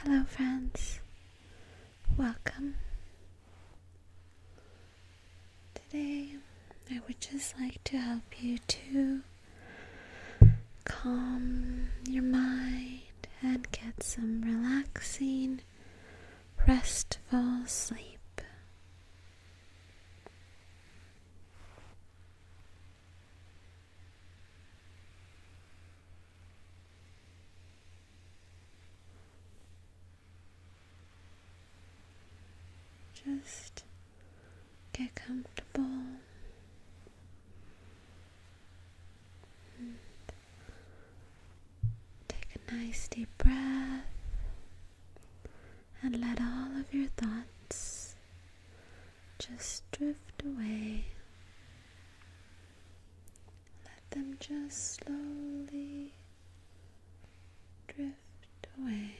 Hello, friends. Welcome. Today, I would just like to help you to calm your mind and get some relaxing, restful sleep. Just get comfortable take a nice deep breath and let all of your thoughts just drift away. Let them just slowly drift away.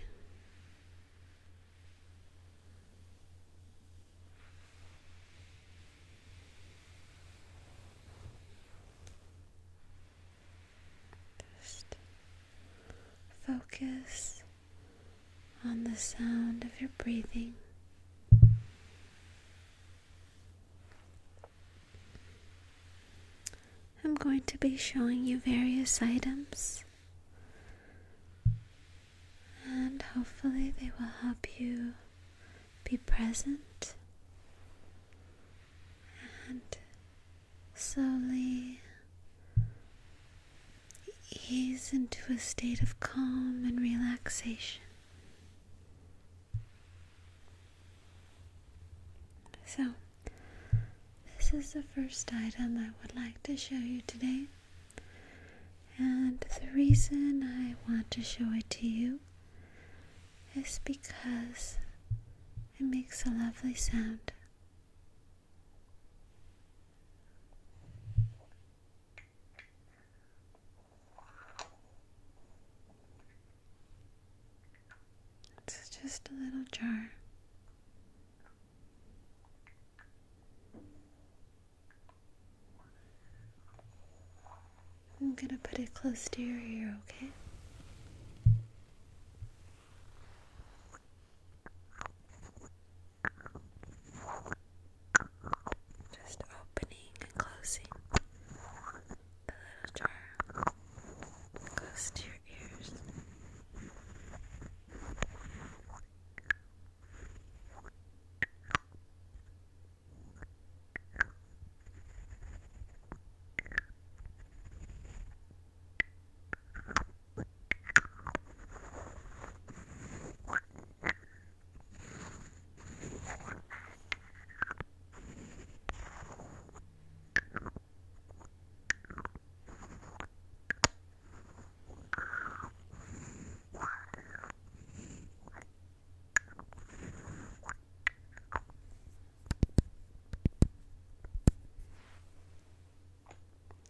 Just focus on the sound of your breathing. I'm going to be showing you various items, and hopefully, they will help you be present and slowly ease into a state of calm and relaxation. So, this is the first item I would like to show you today. And the reason I want to show it to you is because it makes a lovely sound. It's just a little jar. I'm going to put it close to your ear, okay? Just opening and closing the little jar close to your ears. Just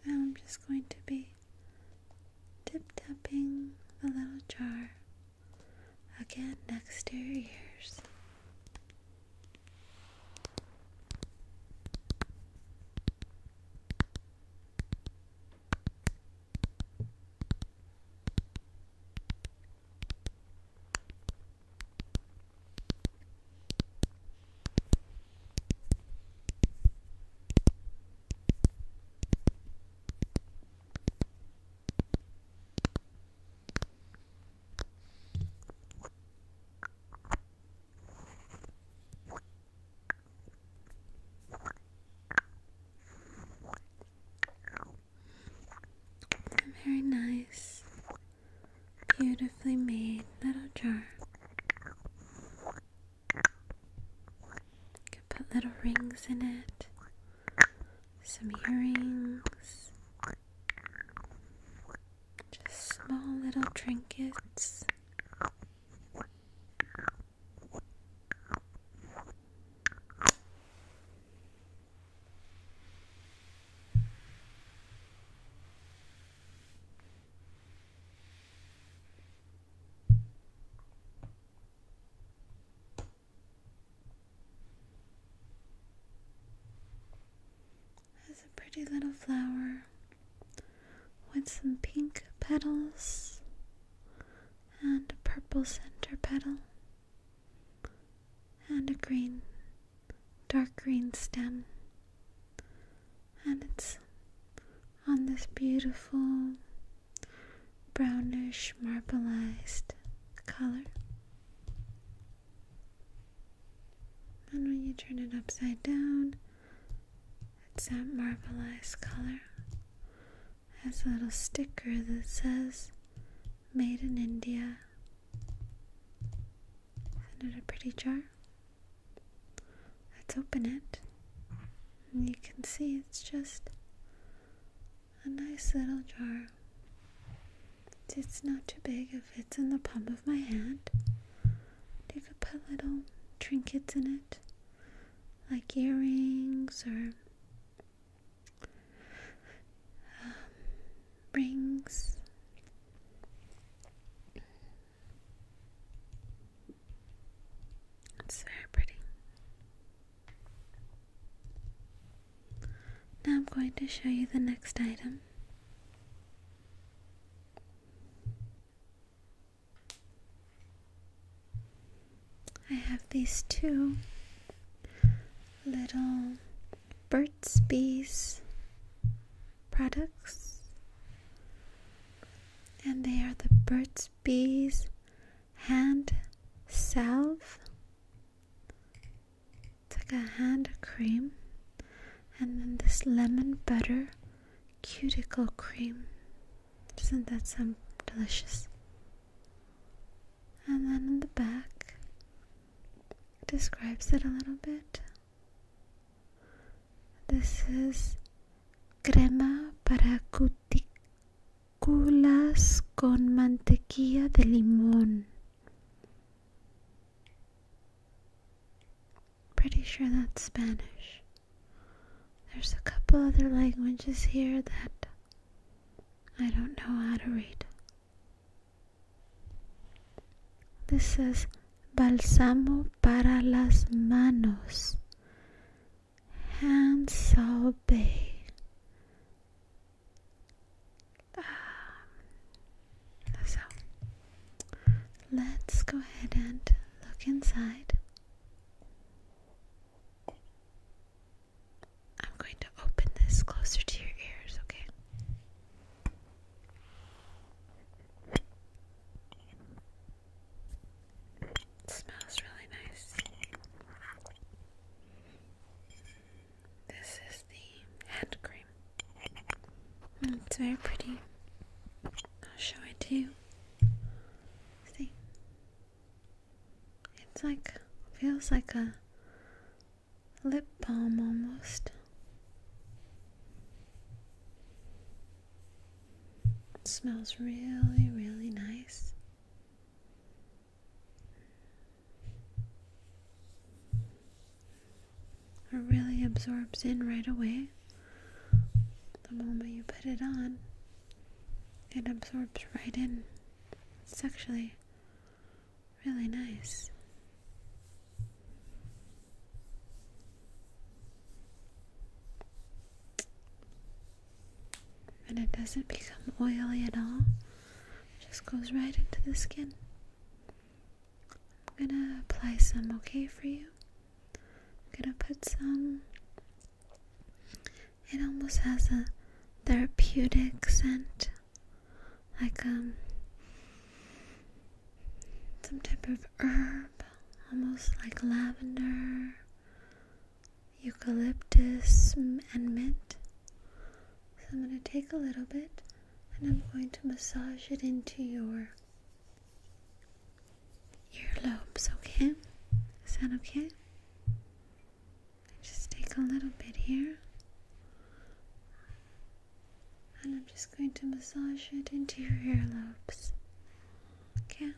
now I'm just going to be tip tapping the little jar Again, next to your very nice, beautifully made little jar. Put little rings in it, some earrings, just small little trinkets. Has a pretty little flower with some pink petals and a purple center petal and a green, dark green stem. And it's on this beautiful brownish marbleized color. And when you turn it upside down, it's that marbleized color. It has a little sticker that says Made in India. Isn't it a pretty jar? Let's open it. you can see it's just a nice little jar. It's not too big if it's in the palm of my hand. You could put little trinkets in it, like earrings or um, rings. It's very pretty. Now I'm going to show you the next item. I have these two little Burt's Bees products, and they are the Burt's Bees hand salve. It's like a hand cream. And then this lemon butter cuticle cream. Doesn't that sound delicious? And then in the back, describes it a little bit. This is crema para cu Ticulas con mantequilla de limón. Pretty sure that's Spanish. There's a couple other languages here that I don't know how to read. This is balsamo para las manos. and so big. Um, so let's go ahead and look inside. I'm going to open this closer to your ears, okay? smells really nice. This is the hand cream. Mm, it's very pretty. I'll show it to you. See? It's like, feels like a lip balm almost. smells really, really nice. It really absorbs in right away. The moment you put it on, it absorbs right in. It's actually really nice and it doesn't become oily at all. It just goes right into the skin. I'm gonna apply some okay for you. I'm gonna put some. It almost has a therapeutic scent, like um some type of herb, almost like lavender eucalyptus and mint. So I'm going to take a little bit and I'm going to massage it into your earlobes, okay? Is that okay? Just take a little bit here. And I'm just going to massage it into your earlobes. Okay?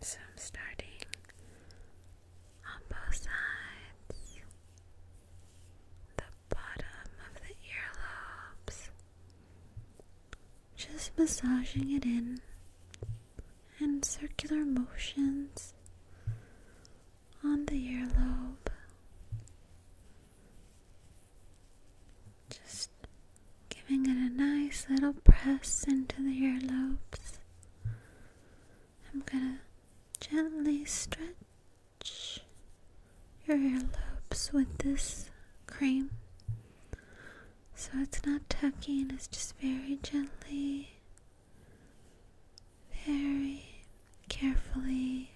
So I'm starting on both sides, the bottom of the earlobes, just massaging it in in circular motions on the earlobe. Just giving it a nice little press into the earlobes. I'm gonna gently stretch your earlobes with this cream so it's not tucking, it's just very gently, very carefully.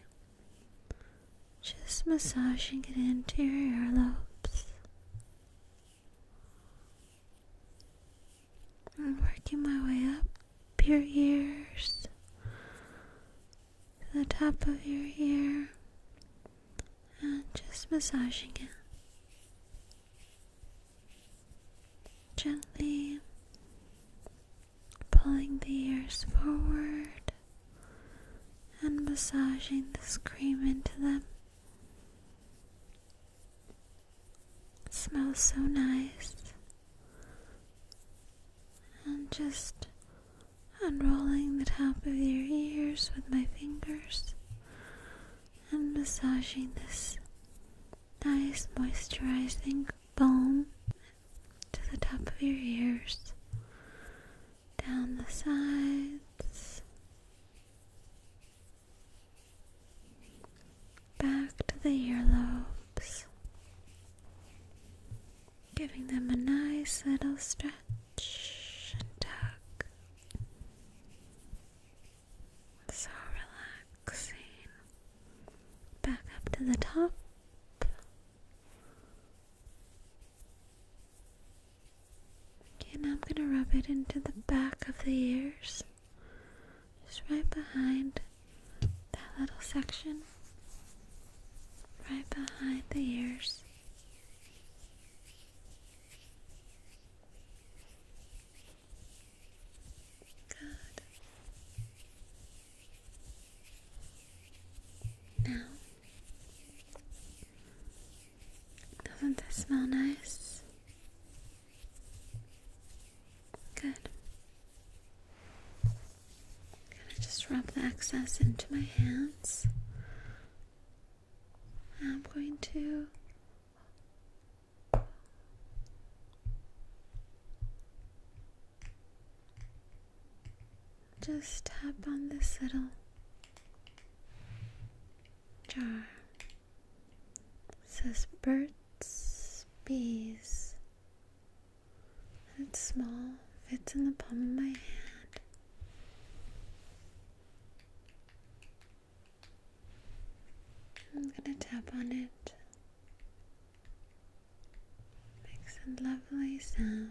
Just massaging it into your earlobes. I'm working my way up your ears, to the top of your ear, and just massaging it gently, pulling the ears forward and massaging the cream into them smells so nice. And just unrolling the top of your ears with my fingers and massaging this nice moisturizing balm to the top of your ears, down the sides, back to the earlobes, giving them a nice little stretch and tug. So relaxing. Back up to the top. Okay, now I'm going to rub it into the back of the ears, just right behind that little section, right behind the ears. Good. Now, doesn't this smell nice? Good. i gonna just rub the excess into my hands. I'm going to just tap on this little jar it says birds, bees. It's small, fits in the palm of my hand. I'm gonna tap on it. Makes a lovely sound.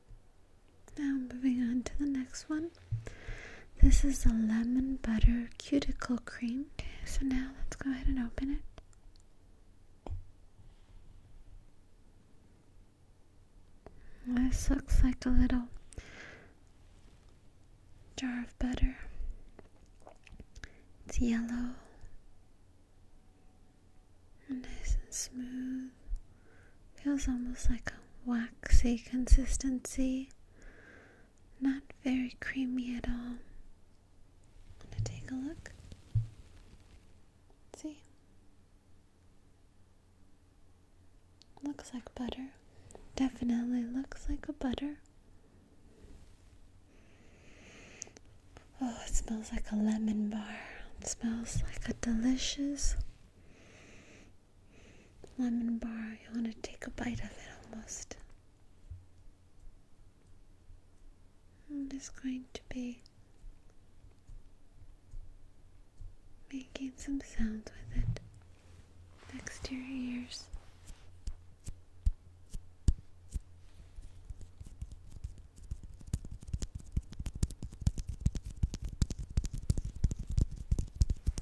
Now, moving on to the next one. This is a lemon butter cuticle cream. Okay, so now let's go ahead and open it. This looks like a little jar of butter. It's yellow, nice and smooth. Feels almost like a waxy consistency. Not very creamy at all. gonna take a look. Let's see? Looks like butter. Definitely looks like a butter. Oh, it smells like a lemon bar. smells like a delicious lemon bar. You want to take a bite of it almost. I'm just going to be making some sounds with it next to your ears.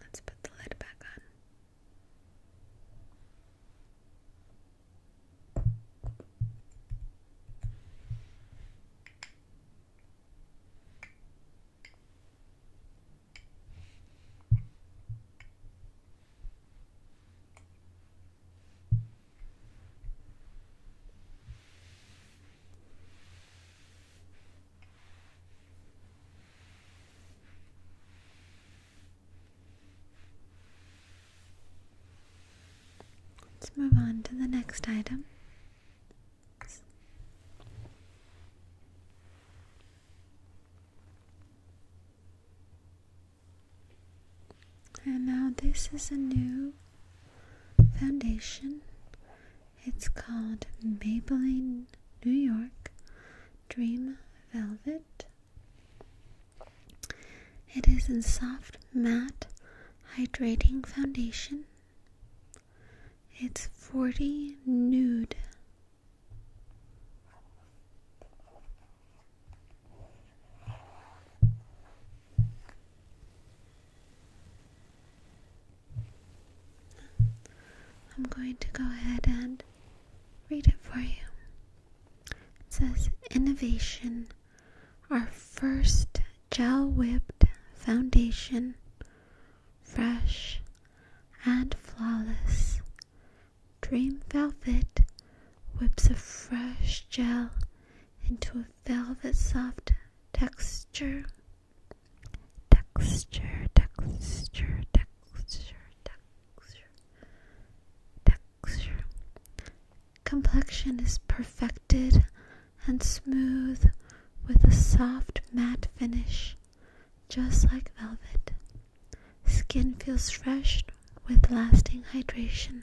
Let's put the lid back on. Let's move on to the next item. And now this is a new foundation. It's called Maybelline New York Dream Velvet. It is a soft matte hydrating foundation. It's 40 nude. I'm going to go ahead and read it for you. It says, Innovation, our first gel whipped foundation, fresh and flawless. Dream Velvet whips a fresh gel into a velvet soft texture. Texture, texture, texture, texture, texture. Complexion is perfected and smooth with a soft matte finish, just like velvet. Skin feels fresh with lasting hydration.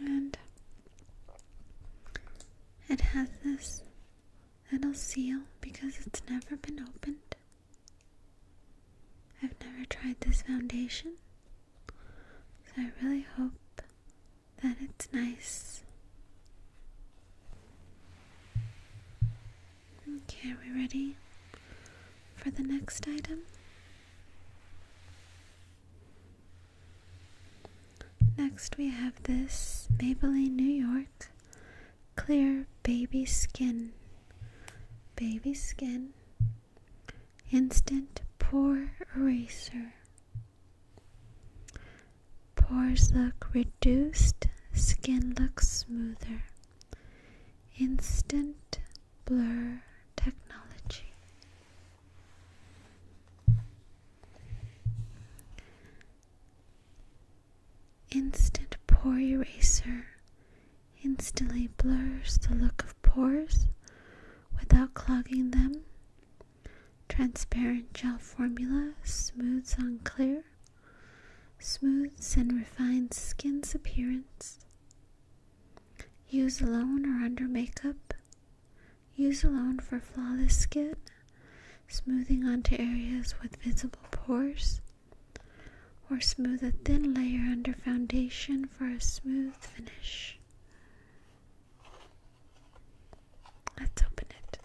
And it has this little seal because it's never been opened. I've never tried this foundation, so I really hope that it's nice. Okay, are we ready for the next item? Next, we have this Maybelline New York Clear Baby Skin. Baby Skin Instant Pore Eraser Pores look reduced, skin looks smoother. Instant Blur Technology. Instant Pore Eraser instantly blurs the look of pores without clogging them. Transparent gel formula smooths clear. smooths and refines skin's appearance. Use alone or under makeup. Use alone for flawless skin, smoothing onto areas with visible pores, or smooth a thin layer under foundation for a smooth finish. Let's open it.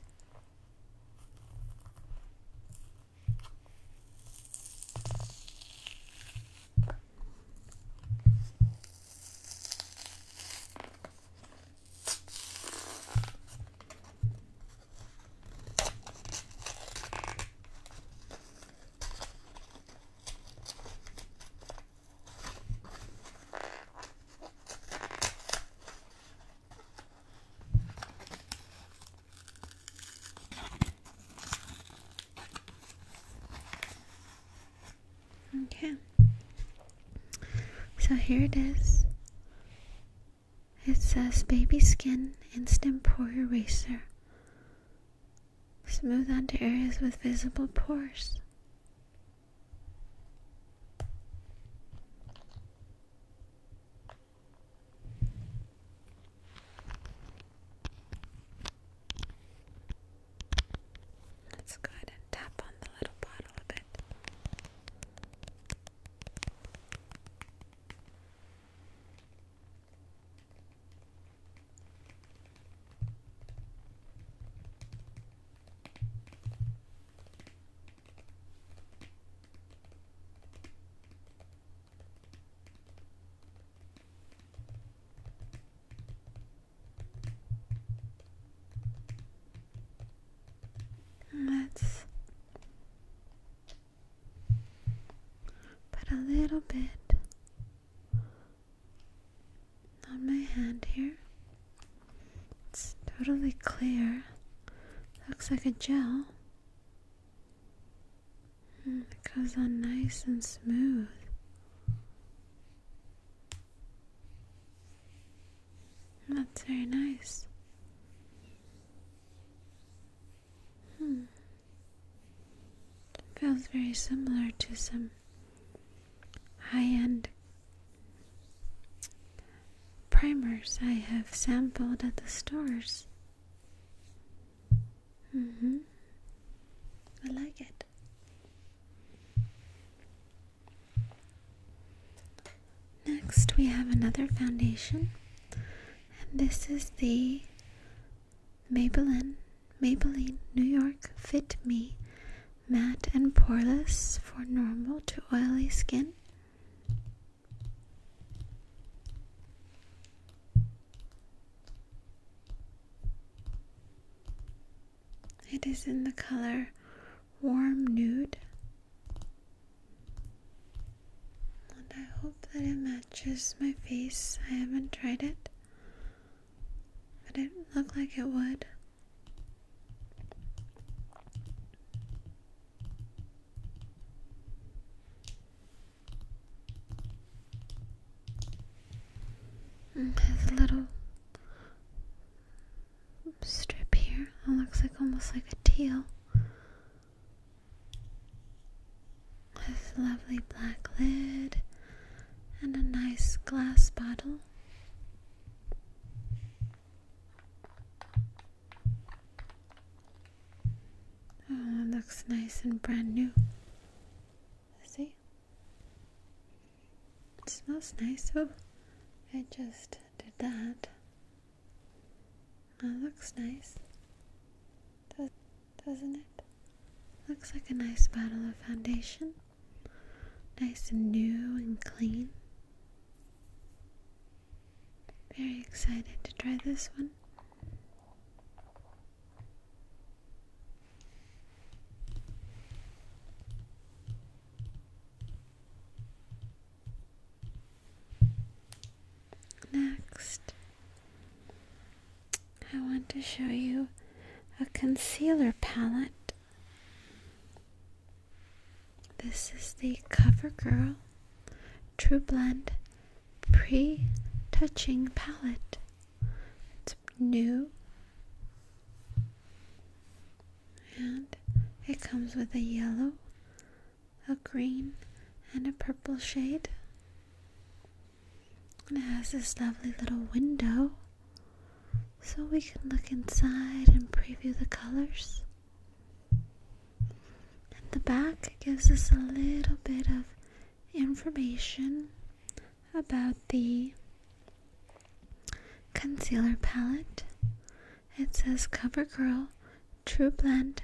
Okay. So here it is. It says Baby Skin Instant Pore Eraser Smooth onto areas with visible pores. Let's go ahead and tap on the little bottle a bit. Let's put a little bit on my hand here. It's totally clear. Looks like a gel. Hmm, it goes on nice and smooth. That's very nice. Hmm. Feels very similar to some high-end primers I have sampled at the stores. Mm-hmm. I like it. Next, we have another foundation, and this is the Maybelline, Maybelline, New York, Fit Me, Matte and Poreless for normal to oily skin. It is in the color Warm Nude. And I hope that it matches my face. I haven't tried it. But It did look like it would. Mm, there's a little strip here. It looks like almost like a teal. This lovely black lid and a nice glass bottle. Oh, it looks nice and brand new. See? It smells nice. Oh, I just did that. That looks nice doesn't it? Looks like a nice bottle of foundation. Nice and new and clean. Very excited to try this one. Next, I want to show you a concealer palette. This is the CoverGirl True Blend Pre Touching Palette. It's new and it comes with a yellow, a green, and a purple shade. And it has this lovely little window so we can look inside and preview the colors. And the back gives us a little bit of information about the concealer palette. It says CoverGirl True Blend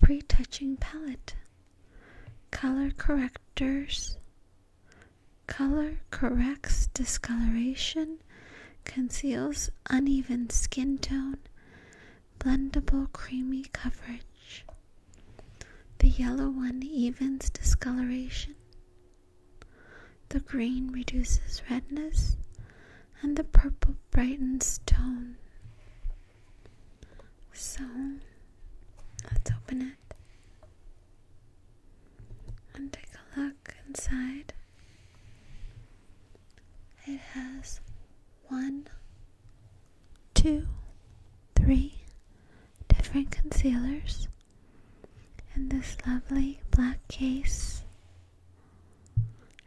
Pre-Touching Palette. Color correctors Color corrects discoloration, conceals uneven skin tone, blendable creamy coverage. The yellow one evens discoloration. The green reduces redness, and the purple brightens tone. So let's open it and take a look inside. It has one, two, three different concealers in this lovely black case.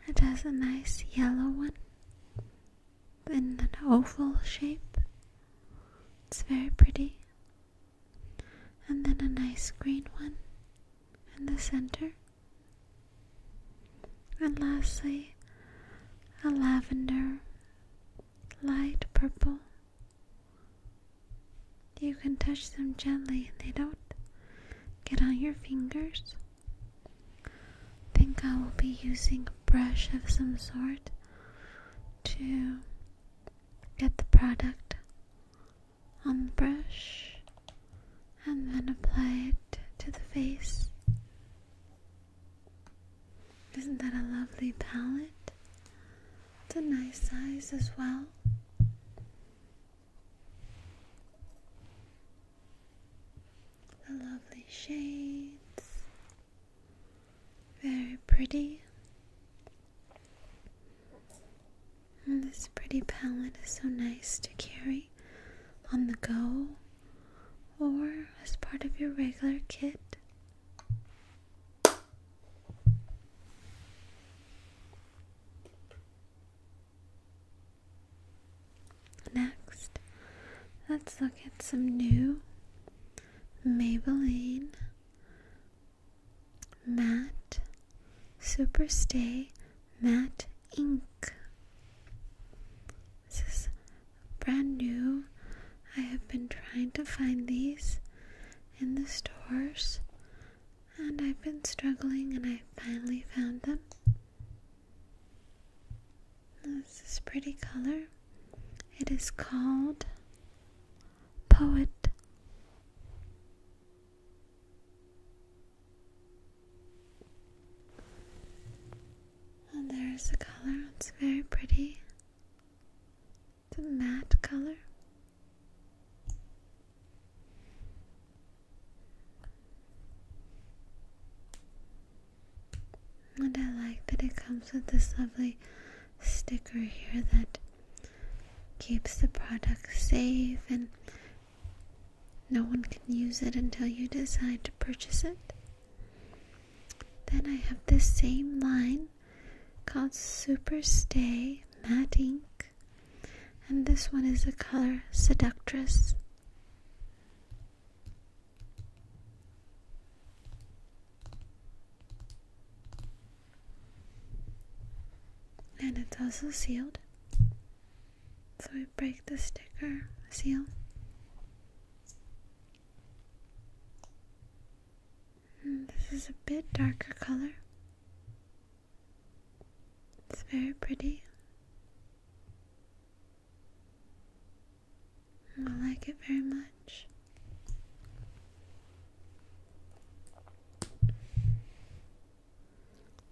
It has a nice yellow one in an oval shape. It's very pretty and then a nice green one in the center, and lastly a lavender light purple. You can touch them gently and they don't get on your fingers. I think I will be using a brush of some sort to Get the product on the brush and then apply it to the face. Isn't that a lovely palette? It's a nice size as well. The lovely shades. Very pretty. this pretty palette is so nice to carry on the go or as part of your regular kit. Next, let's look at some new Maybelline Matte Superstay Matte Ink. This is brand new. I have been trying to find these in the stores and I've been struggling and I finally found them. This is pretty color. It is called poet. And there's a color, it's very pretty. It's a matte color. And I like that it comes with this lovely sticker here that keeps the product safe and no one can use it until you decide to purchase it. Then I have this same line called Super Stay Matte Ink, and this one is the color Seductress and it's also sealed. So we break the sticker seal. this is a bit darker color. It's very pretty. I like it very much.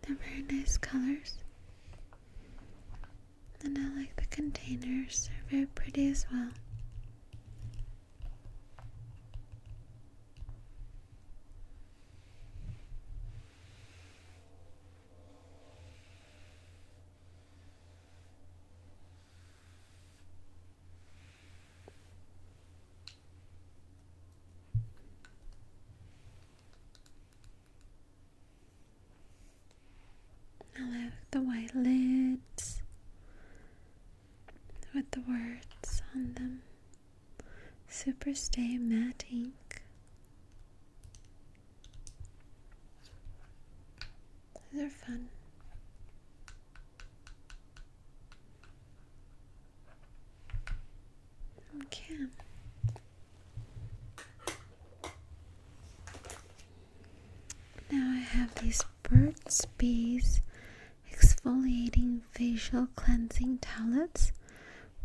They're very nice colors. And I like the containers, they're very pretty as well. I like the white lids with the words on them. Superstay matte ink. These are fun. Okay. Now I have these Burt's Bees exfoliating facial cleansing towelettes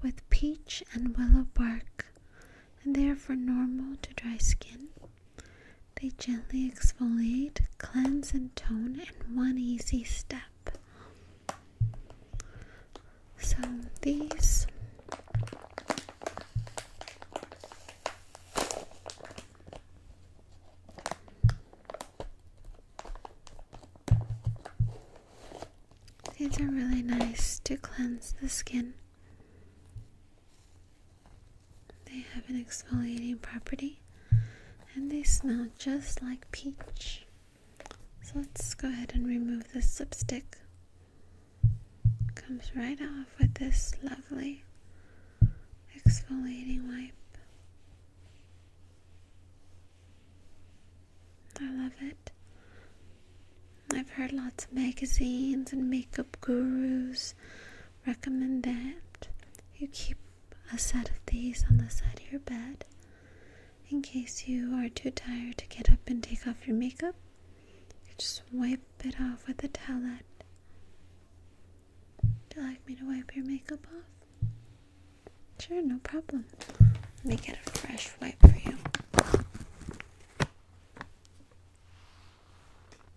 with peach and willow bark, and they are for normal to dry skin. They gently exfoliate, cleanse, and tone in one easy step. So these these are really nice to cleanse the skin. They have an exfoliating property and they smell just like peach. So let's go ahead and remove this lipstick. Comes right off with this lovely exfoliating wipe. I love it. I've heard lots of magazines and makeup gurus recommend that you keep a set of these on the side of your bed in case you are too tired to get up and take off your makeup. You just wipe it off with a towel. Would you like me to wipe your makeup off? Sure, no problem. Let me get a fresh wipe for you.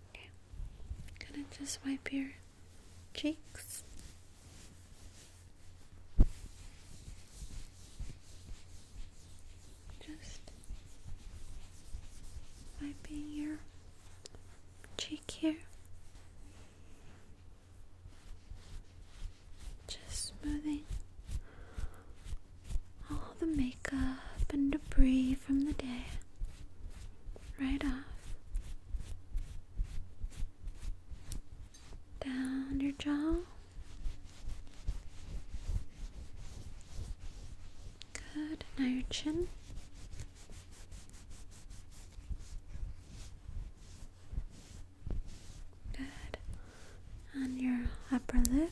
Okay. gonna just wipe your cheeks. Just wiping your cheek here. Just smoothing all the makeup and debris from the day right off down your jaw. Good. Now your chin. Good. And your upper lip.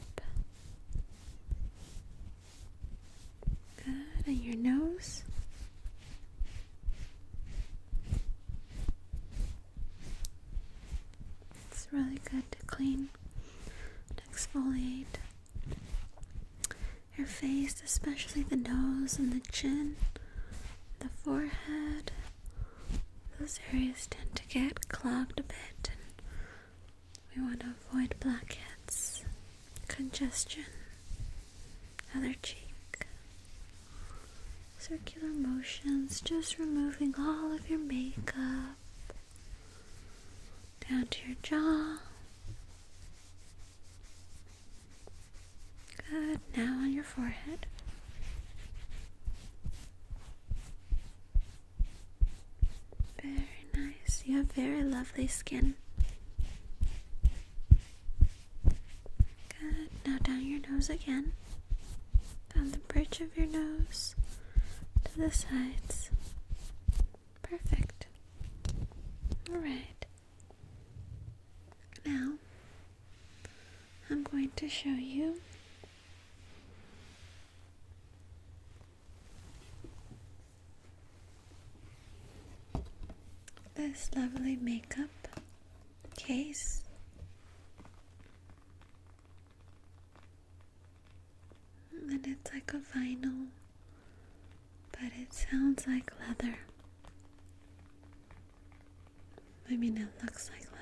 Good. And your nose. It's really good to clean and exfoliate your face, especially the nose and the chin, the forehead. Those areas tend to get clogged a bit, and we want to avoid blackheads, congestion, other cheek circular motions, just removing all of your makeup down to your jaw. Good, now on your forehead. Very nice. You have very lovely skin. Good. Now down your nose again. On the bridge of your nose to the sides. Perfect. Alright. Now, I'm going to show you this lovely makeup case. And it's like a vinyl, but it sounds like leather. I mean, it looks like leather.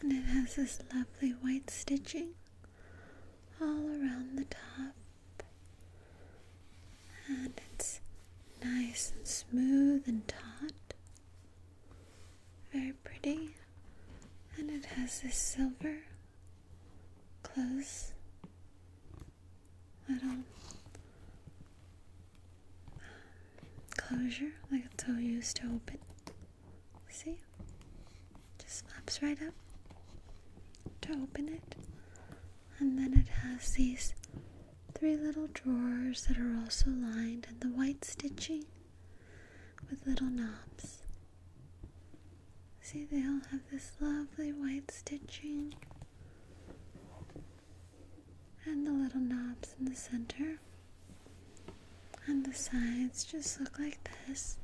And it has this lovely white stitching all around the top. And it's nice and smooth and taut. Very pretty. And it has this silver close little closure, like a toe used to open. See? Just flaps right up to open it. And then it has these three little drawers that are also lined in the white stitching with little knobs. See, they all have this lovely white stitching and the little knobs in the center. And the sides just look like this.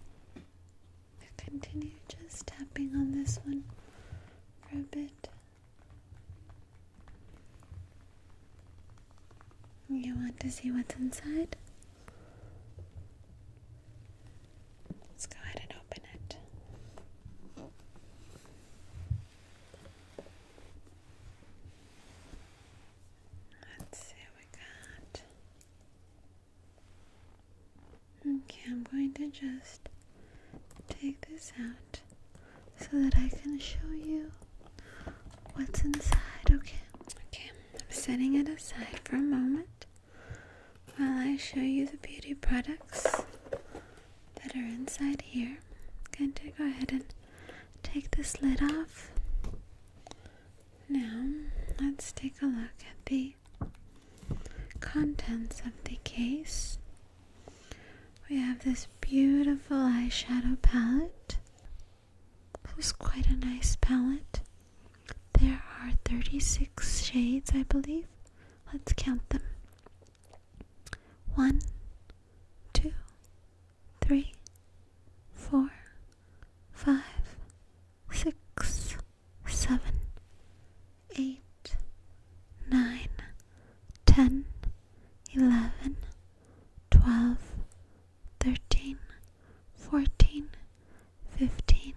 Continue just tapping on this one for a bit. You want to see what's inside? Let's go ahead and open it. Let's see what we got. Okay, I'm going to just take this out so that I can show you what's inside, okay? Okay, I'm setting it aside for a moment while I show you the beauty products that are inside here. i going to go ahead and take this lid off. Now, let's take a look at the contents of the case. We have this beautiful eyeshadow palette. It was quite a nice palette. There are 36 shades, I believe. Let's count them. One, two, three, four, five, six, seven, eight, nine, ten, eleven, twelve, thirteen, fourteen, fifteen,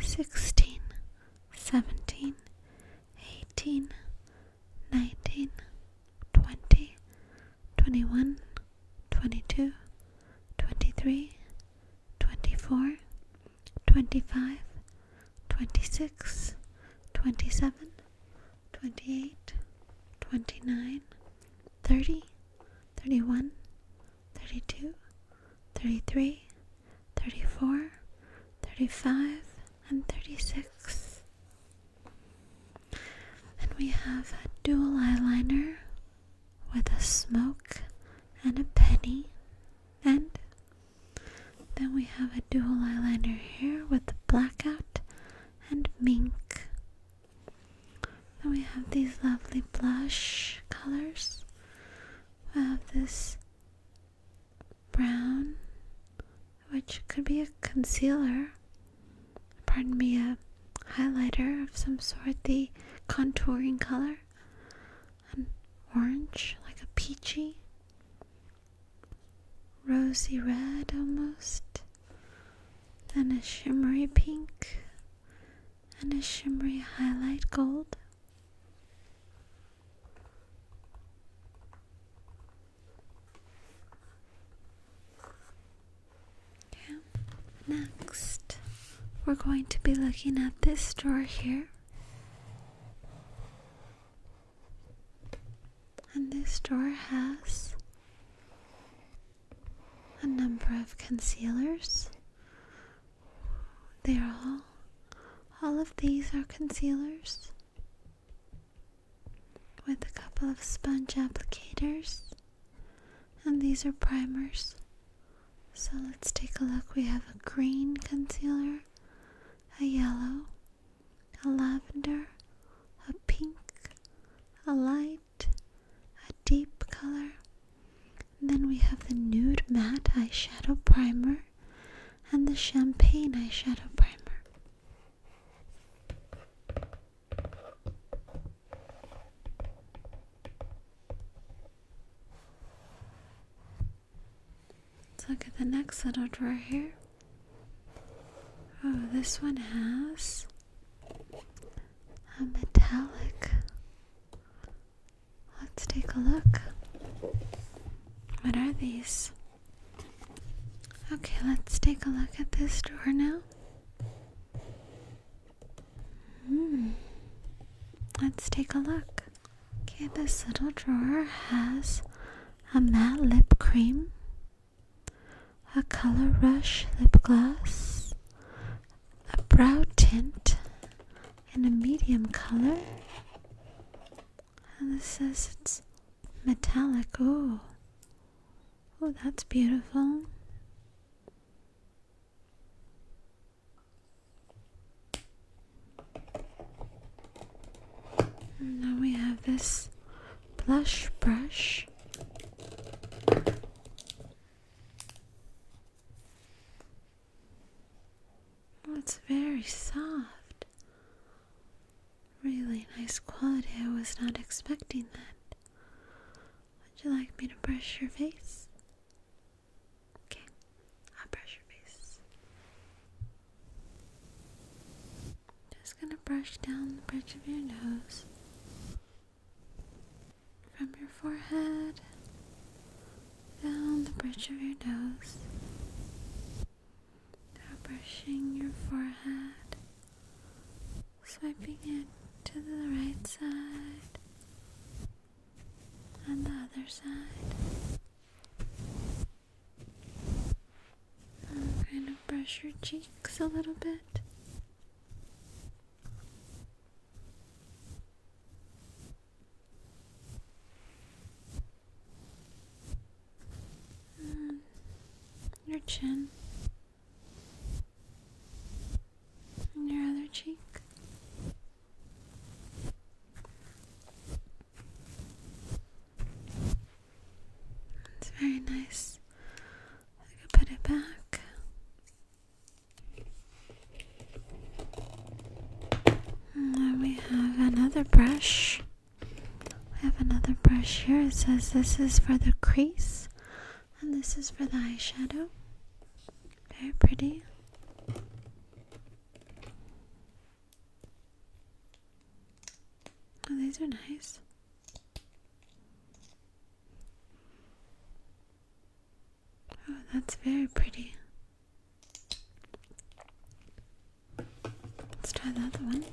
sixteen, seventeen, 18, 19, 20, 21, 22, 23, 24, 25, 26, 27, 28, 29, 30, 31, 32, 33, 34, 35, and 36. And we have a dual eyeliner with a smoke and a penny. And then we have a dual eyeliner here with the blackout and mink. Then we have these lovely blush colors. We have this brown, which could be a concealer. Pardon me, a highlighter of some sort, the contouring color. An orange, like a peachy, rosy red almost. Then a shimmery pink and a shimmery highlight gold. Next, we're going to be looking at this drawer here. And this drawer has a number of concealers. They are all, all of these are concealers with a couple of sponge applicators, and these are primers. So let's take a look. We have a green concealer, a yellow, a lavender, a pink, a light, a deep color. then we have the nude matte eyeshadow primer and the champagne eyeshadow primer. Let's look at the next little drawer here. Oh, this one has a metallic. Let's take a look. What are these? Okay, let's take a look at this drawer now. Hmm. Let's take a look. Okay, this little drawer has a matte lip cream, a color rush lip gloss, a brow tint, and a medium color. And this says it's Metallic, oh. Oh, that's beautiful. now we have this blush brush. That's oh, very soft. Really nice quality. I was not expecting that. Would you like me to brush your face? Okay, I'll brush your face. Just gonna brush down the bridge of your nose. From your forehead down the bridge of your nose now brushing your forehead, swiping it to the right side on the other side. kind of brush your cheeks a little bit. Mm, your chin and your other cheek. It's very nice. I could put it back. And we have another brush. We have another brush here. It says this is for the crease and this is for the eyeshadow. Very pretty. Oh, these are nice. Oh, that's very pretty. Let's try the other one.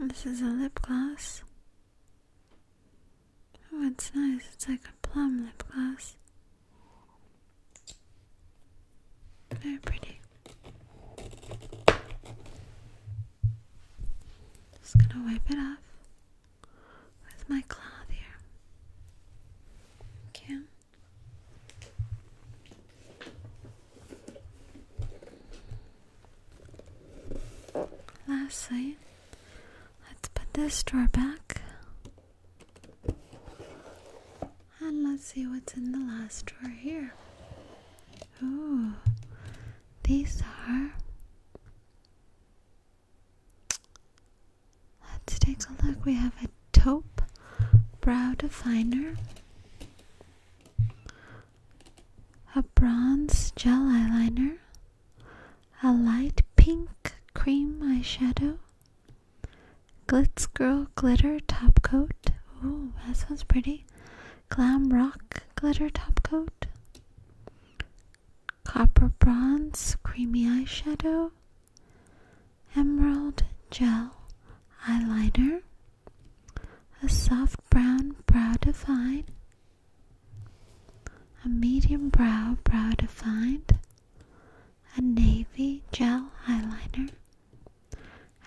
This is a lip gloss. Oh, it's nice. It's like a plum lip gloss. Very pretty. Just gonna wipe it off with my claw there. Okay. Lastly, let's put this drawer back. And let's see what's in the last drawer here. Oh, these are Let's take a look. We have a taupe brow definer, a bronze gel eyeliner, a light pink cream eyeshadow, Glitz Girl glitter top coat. Ooh, that sounds pretty. Glam Rock glitter top coat. Copper Bronze Creamy Eyeshadow, Emerald Gel Eyeliner, a Soft Brown Brow Defined, a Medium Brow Brow Defined, a Navy Gel Eyeliner,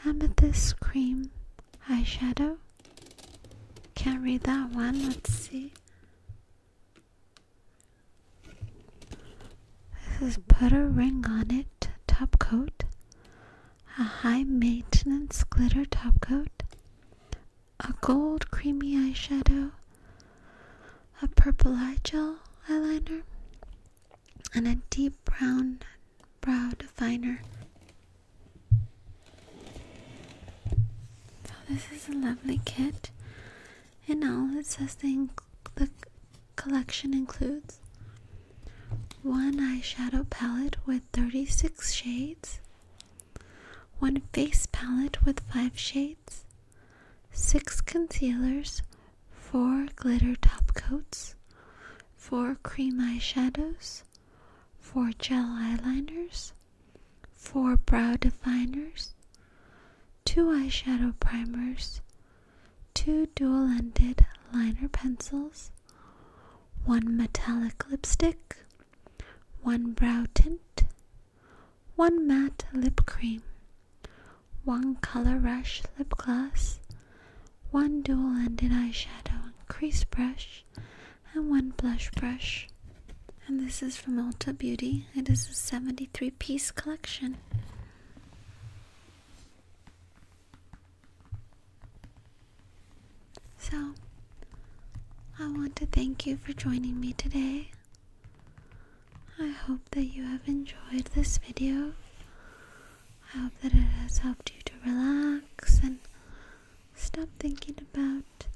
Amethyst Cream Eyeshadow. Can't read that one, let's see. This is a ring on it top coat, a high maintenance glitter top coat, a gold creamy eyeshadow, a purple eye gel eyeliner, and a deep brown brow definer. So, this is a lovely kit. In all, it says the, the collection includes one eyeshadow palette with 36 shades, one face palette with 5 shades, 6 concealers, 4 glitter top coats, 4 cream eyeshadows, 4 gel eyeliners, 4 brow definers, 2 eyeshadow primers, 2 dual ended liner pencils, 1 metallic lipstick, 1 brow tint, 1 matte lip cream, 1 color rush lip gloss, 1 dual ended eyeshadow crease brush, and 1 blush brush. And this is from Alta Beauty. It is a 73 piece collection. So, I want to thank you for joining me today. I hope that you have enjoyed this video. I hope that it has helped you to relax and stop thinking about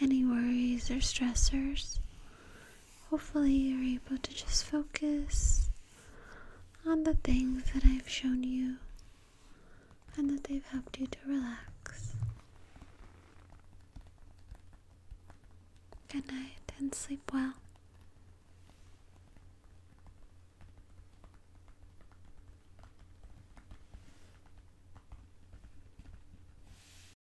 any worries or stressors. Hopefully, you're able to just focus on the things that I've shown you and that they've helped you to relax. Good night and sleep well.